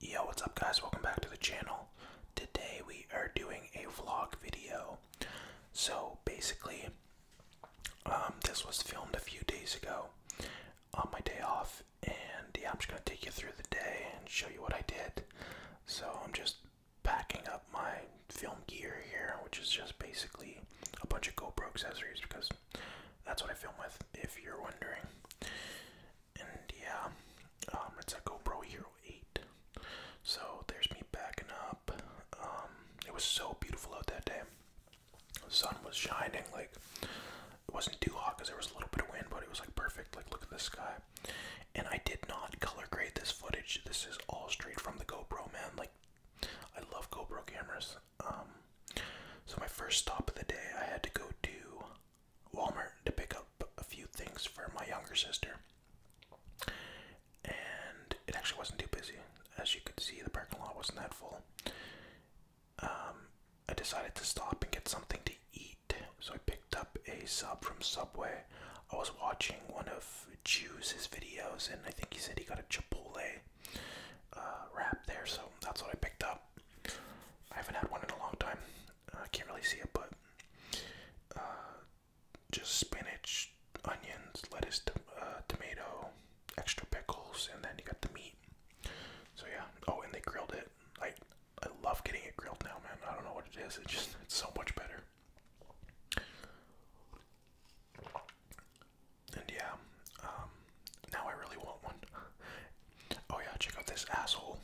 Yo, what's up guys? Welcome back to the channel. Today we are doing a vlog video. So basically, um, this was filmed a few days ago on my day off and yeah, I'm just gonna take you through the day and show you what I did. So I'm just packing up my film gear here, which is just basically a bunch of GoPro accessories because that's what I film with, if you're wondering. And yeah, um, it's a GoPro Hero 8. So there's me backing up. Um, it was so beautiful out that day. The sun was shining, like it wasn't too hot because there was a little bit of wind, but it was like perfect. Like look at the sky. And I did not color grade this footage. This is all straight from the GoPro, man. Like I love GoPro cameras. Um, so my first stop of the day, I had to go to Walmart to pick up a few things for my younger sister. And it actually wasn't too busy. As you could see, the parking lot wasn't that full. Um, I decided to stop and get something to eat, so I picked up a sub from Subway. I was watching one of Jew's videos, and I think he said he got a Chipotle uh, wrap there, so that's what I picked up. I haven't had one in a long time. Uh, I can't really see it, but uh, just spinach, onions, lettuce, uh, tomato, extra pickles, and then you got the meat. So yeah. Oh, and they grilled it. I I love getting it grilled now, man. I don't know what it is. It just it's so much better. And yeah, um, now I really want one. oh yeah, check out this asshole.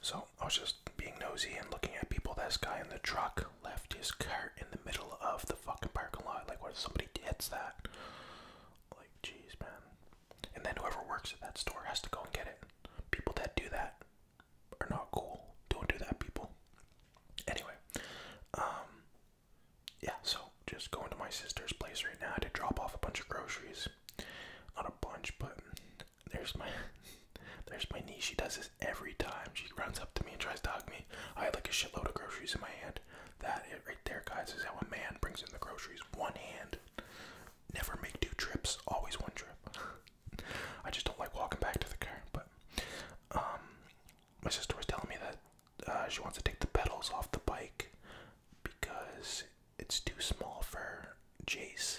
So I was just being nosy and looking at people. This guy in the truck left his cart in the middle of the fucking parking lot. Like, what if somebody hits that? Like, jeez, man. And then whoever works at that store has to go and get it. People that do that are not cool. Don't do that, people. Anyway, um, yeah, so just going to my sister's place right now to drop off a bunch of groceries. Not a bunch, but there's my there's my niece. She does this every time. She runs up to me and tries to hug me. I had like a shitload of groceries in my hand. That it right there, guys, is how a man brings in the groceries. One hand. Never make two trips. Always one trip. I just don't like walking back to the car. But um, my sister was telling me that uh, she wants to take the pedals off the bike because it's too small for Jace,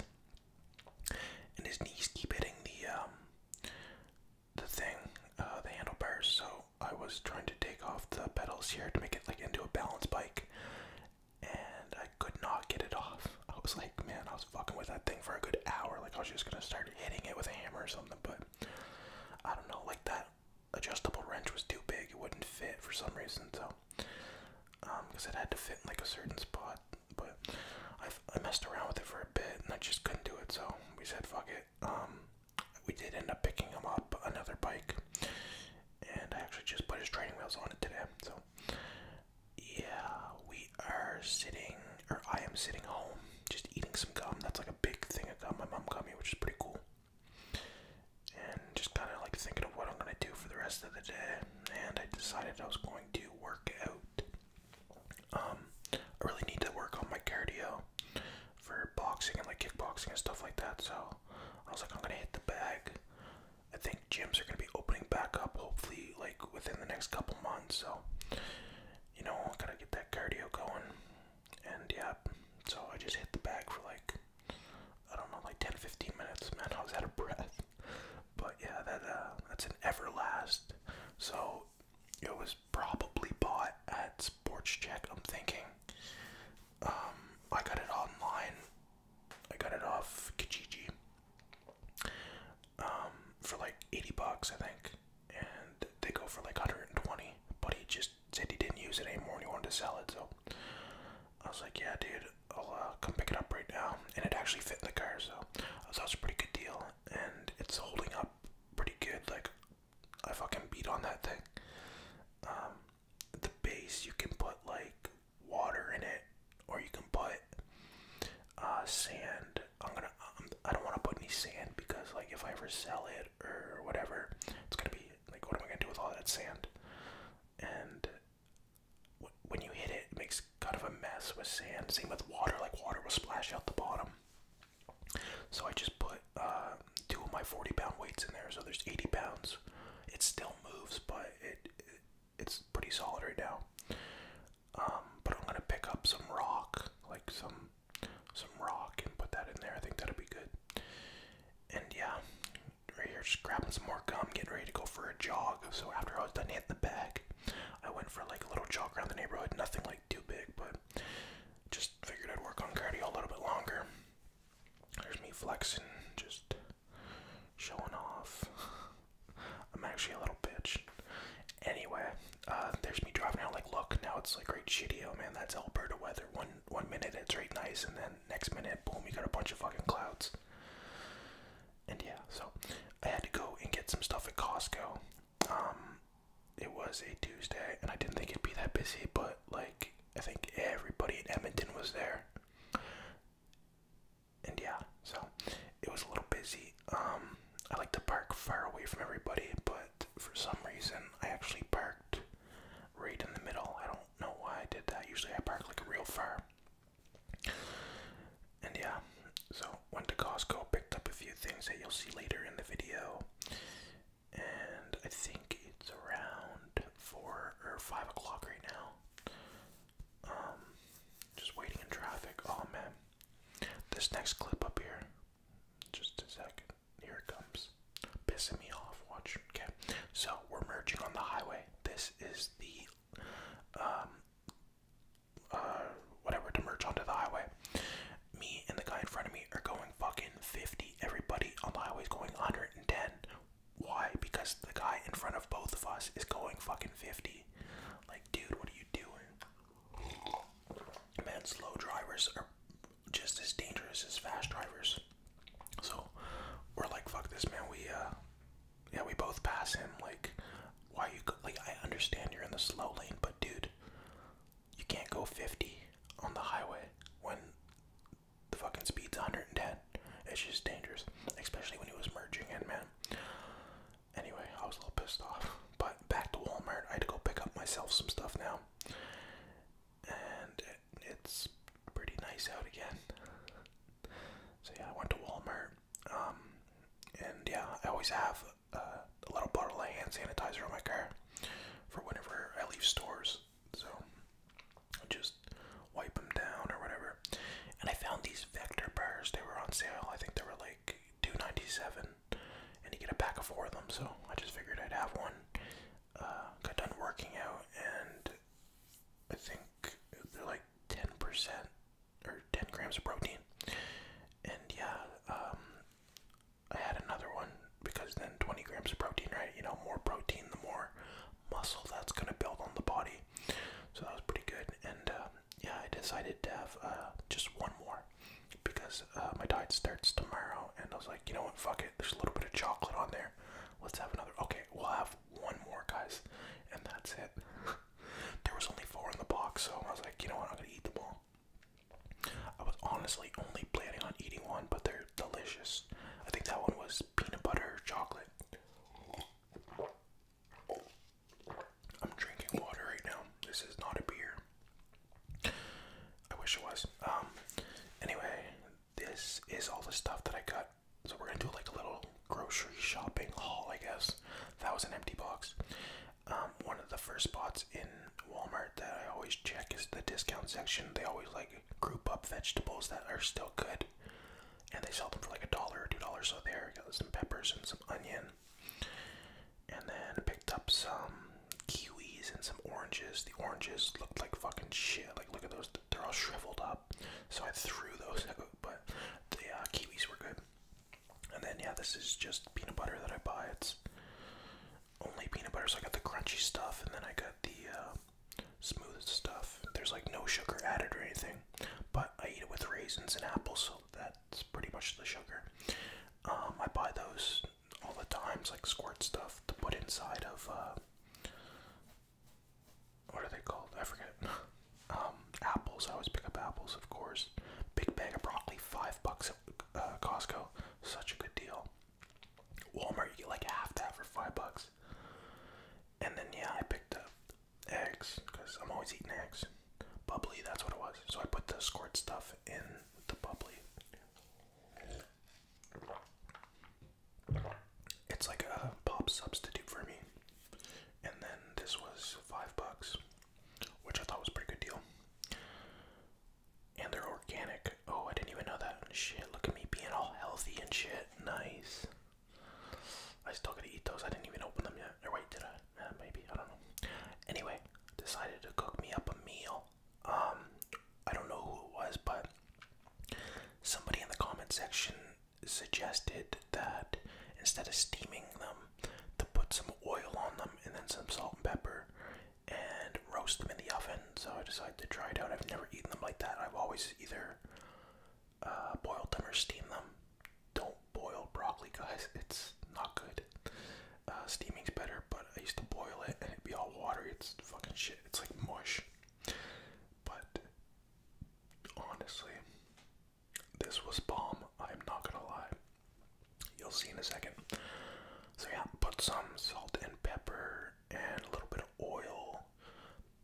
and his knees keep hitting the um, the thing, uh, the handlebars. So I was trying to take off the pedals here to make it like into a balance bike, and I could not get it off. I was like, man, I was fucking with that thing for a good hour. Like I was just gonna start hitting it with a hammer or something, but I don't know. Like that adjustable wrench was too big; it wouldn't fit for some reason. So, because um, it had to fit in like a certain spot, but i messed around with it for a bit and I just couldn't do it. So we said, "Fuck it." Um, we did end up picking him up another bike, and I actually just put his training wheels on it today. So, yeah, we are sitting, or I am sitting home just eating some gum. That's like a big thing of got My mom got me, which is pretty cool. And just kind of like thinking of what I'm gonna do for the rest of the day. And I decided I was going to work out. Um, I really need to work on my cardio for boxing and like kickboxing and stuff like that. So I was like, I'm gonna hit the bag. I think gyms are gonna be opening back up hopefully like within the next couple months. So you know, I gotta get that cardio going and yeah, so I just hit the bag for like I don't know, like 10 15 minutes, man. I was out of breath, but yeah, that uh, that's an everlasting. so it was probably bought at Sports Check. I'm thinking, um, I got it online, I got it off Kijiji, um, for like 80 bucks, I think and they go for like 120 but he just said he didn't use it anymore and he wanted to sell it so i was like yeah dude i'll uh, come pick it up right now and it actually fit in the car so i thought it was a pretty good deal and it's holding up pretty good like i fucking beat on that thing um the base you can put like water in it or you can put uh, sand. I'm gonna. Um, I don't want to put any sand because, like, if I ever sell it or whatever, it's gonna be like, what am I gonna do with all that sand? And when you hit it, it makes kind of a mess with sand. Same with water. Like, water will splash out the bottom. So I just put uh, two of my 40 pound weights in there. So there's 80 pounds. It still moves, but it it's pretty solid right now. Um, but I'm gonna pick up some rock, like some some rock, and put that in there. I think that would be good. And yeah, right here, just grabbing some more gum, getting ready to go for a jog. So after I was done hitting the bag, I went for like a little jog around the neighborhood. Nothing like too big, but just figured I'd work on cardio a little bit longer. There's me flexing, just showing off. I'm actually a little bitch. Anyway, uh, there's me driving out like, look, now it's like great shitty. Oh man, that's Alberta weather. One one minute it's great nice, and then next minute, boom, you got a bunch of fucking clouds. And yeah, so I had to go and get some stuff at Costco. Um, it was a Tuesday, and I didn't think it'd be that busy, but like I think everybody in Edmonton was there and yeah, so it was a little busy. Um, I like to park far away from everybody, but for some reason, I actually parked right in the middle. I don't know why I did that. Usually, I park like real far. And yeah, so went to Costco, picked up a few things that you'll see later in the video, and I think it's around four or five o'clock right now. Um, just waiting in traffic. Oh man, this next clip up here. Just a second. Here it comes. Pissing me off. Watch. Okay. So we're merging on the highway. This is the um uh whatever to merge onto the highway. Me and the guy in front of me are going fucking 50. Everybody on the highway is going 110. Why? Because the guy in front of both of us is going fucking 50 dude, what are you doing? Man, slow drivers are just as dangerous as fast drivers. So we're like, fuck this, man. We, uh, yeah, we both pass him. Like, why you go? Like, I understand you're in the slow lane, but dude, you can't go 50 on the highway when the fucking speed's 110. It's just dangerous, especially when he was merging in, man. Anyway, I was a little pissed off. But back to Walmart, I had to go pick up myself some stuff now. And it's pretty nice out again. So yeah, I went to Walmart. Um, and yeah, I always have a, a little bottle of hand sanitizer in my car for whenever I leave stores. So just wipe them down or whatever. And I found these vector bars. They were on sale. I think they were like $2.97, and you get a pack of four of them. So I just figured I'd have one. Uh, got done working out, and I think they're like 10% or 10 grams of protein. And yeah, um, I had another one because then 20 grams of protein, right? You know, more protein, the more muscle that's going to build on the body. So that was pretty good. And uh, yeah, I decided to have uh, just one more because uh, my diet starts tomorrow. And I was like, you know what, fuck it. There's a little bit of chocolate on there. Let's have another. Okay, we'll have one more, guys. And that's it. there was only four in the box, so I was like, you know what, I'm going to eat them all. I was honestly only planning on eating one, but they're delicious. I think that one was peanut butter chocolate. I'm drinking water right now. This is not a beer. I wish it was. Um, anyway, this is all the stuff that I got. So we're gonna do like a little grocery shopping haul, I guess. That was an empty box. Um, one of the first spots in Walmart that I always check is the discount section. They always like group up vegetables that are still good and they sell them for like a dollar or two dollars. So there, got some peppers and some onion, and then picked up some kiwis and some oranges. The oranges looked like fucking shit. Like look at those; they're all shriveled up. So I threw those out, but the uh, kiwis were good. And then yeah, this is just peanut butter that I buy. It's only peanut butter. So I got the crunchy stuff, and then I got the uh, smooth stuff. There's like no sugar added or anything, but I eat it with raisins and apples, so that's pretty much the sugar. Um, I buy those all the times, like squirt stuff to put inside of uh, what are they called? I forget. Um, apples. I always pick up apples, of course. Big bag of broccoli, five bucks at uh, Costco. Such a good deal. Walmart, you get like half that for five bucks. And then yeah, I picked up eggs because I'm always eating eggs. Bubbly, that's what it was. So I put the squirt stuff in the bubbly. It's like a pop substitute for me. And then this was five bucks, which I thought was pretty good deal. And they're organic. Oh, I didn't even know that. Shit, look at me being all healthy and shit. Nice. I still gotta eat those. I didn't even open them yet. wait, did I? Eh, maybe. I don't know. Anyway, decided to cook me up a meal. Um, I don't know who it was, but somebody in the comment section suggested that instead of steaming them, to put some oil on them and then some salt and pepper and roast them in the oven so I decided to try it out. I've never eaten them like that. I've always either uh, boiled them or steamed them. Don't boil broccoli, guys. It's not good. Uh, steaming's better, but I used to boil it and it'd be all watery. It's fucking shit. It's like mush. But honestly, this was bomb. I'm not gonna lie. You'll see in a second. So yeah, put some salt and pepper and a little bit of oil.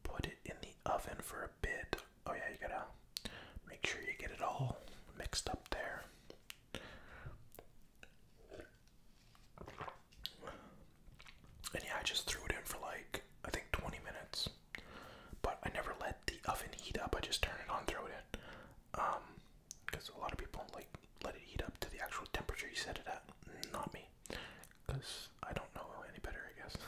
Put it in the oven for a bit. Oh, yeah, you gotta make sure you get it all mixed up there. And yeah, I just threw it in for like, I think 20 minutes. But I never let the oven heat up, I just turn it on, throw it in. Um, because a lot of people like let it heat up to the actual temperature you set it at. Not me because I don't know any better, I guess.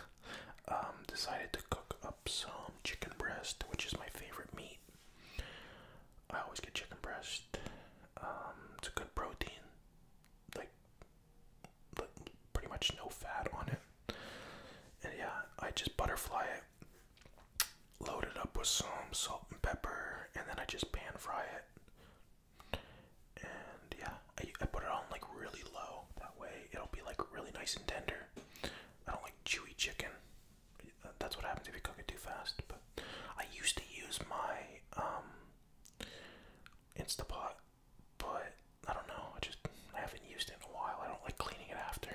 Um, decided to cook up some chicken breast, which is my favorite meat. I always get chicken breast. Um, it's a good protein, like, like pretty much no fat on it. And yeah, I just butterfly it, load it up with some salt and pepper, and then I just pan fry it and yeah, I, I put it on like really low. That way it'll be like really nice and tender. I don't like chewy chicken. Uh, that's what happens if you cook it too fast. But I used to use my um, Instapot, but I don't know. I just I haven't used it in a while. I don't like cleaning it after.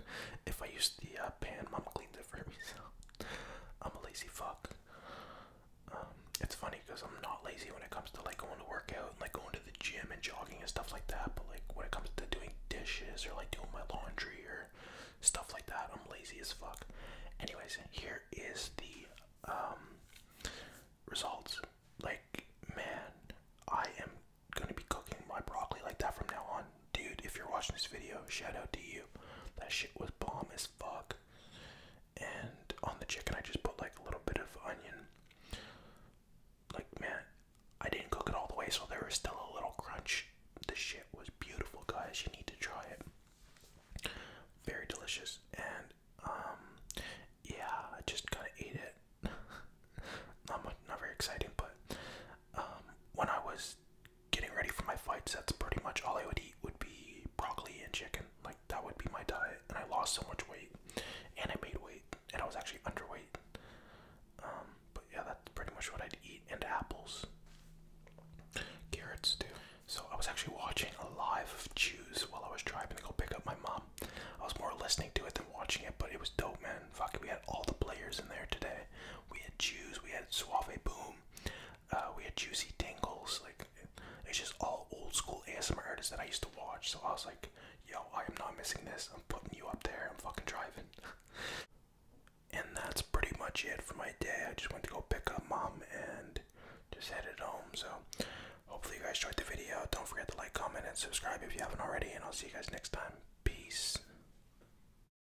if I use the uh, pan, Mom cleans it for me, so I'm a lazy fuck. Um, it's funny because I'm not lazy when it comes to like going to work out and like going to the gym and jogging and stuff like that. But like when it comes to doing dishes or like doing my laundry or stuff like that, I'm lazy as fuck. Anyways, here is the um, results. Like, man, I am gonna be cooking my broccoli like that from now on, dude. If you're watching this video, shout out to you. That shit was bomb as fuck. And on the chicken, I just put like a little bit of onion. Like, man, I didn't cook it all the way, so there was still a little crunch. The shit was beautiful, guys. You need to try it. Very delicious. And, um, yeah, I just gonna eat it. not much, not very exciting, but um, when I was getting ready for my fights, that's pretty much all I would eat would be broccoli and chicken. Like that would be my diet, and I lost so much weight, and I made weight, and I was actually underweight. Um, but yeah, that's pretty much what I'd eat, and apples, carrots too. So I was actually watching a live of Jews while I was driving to go pick up my mom. I was more listening to it than watching it, but it was dope, man. Fuck, we had all the players in there today. We had Jews, we had Suave Boom, uh, we had Juicy Tingles. Like it's just all old school ASMR artists that I used to watch. So I was like, yo, I am not missing this. I'm putting you up there. I'm fucking driving. and that's pretty much it for my day. I just went to go pick up mom and just headed home. So hopefully you guys enjoyed the video. Don't forget to like, comment, and subscribe if you haven't already. And I'll see you guys next time. Peace.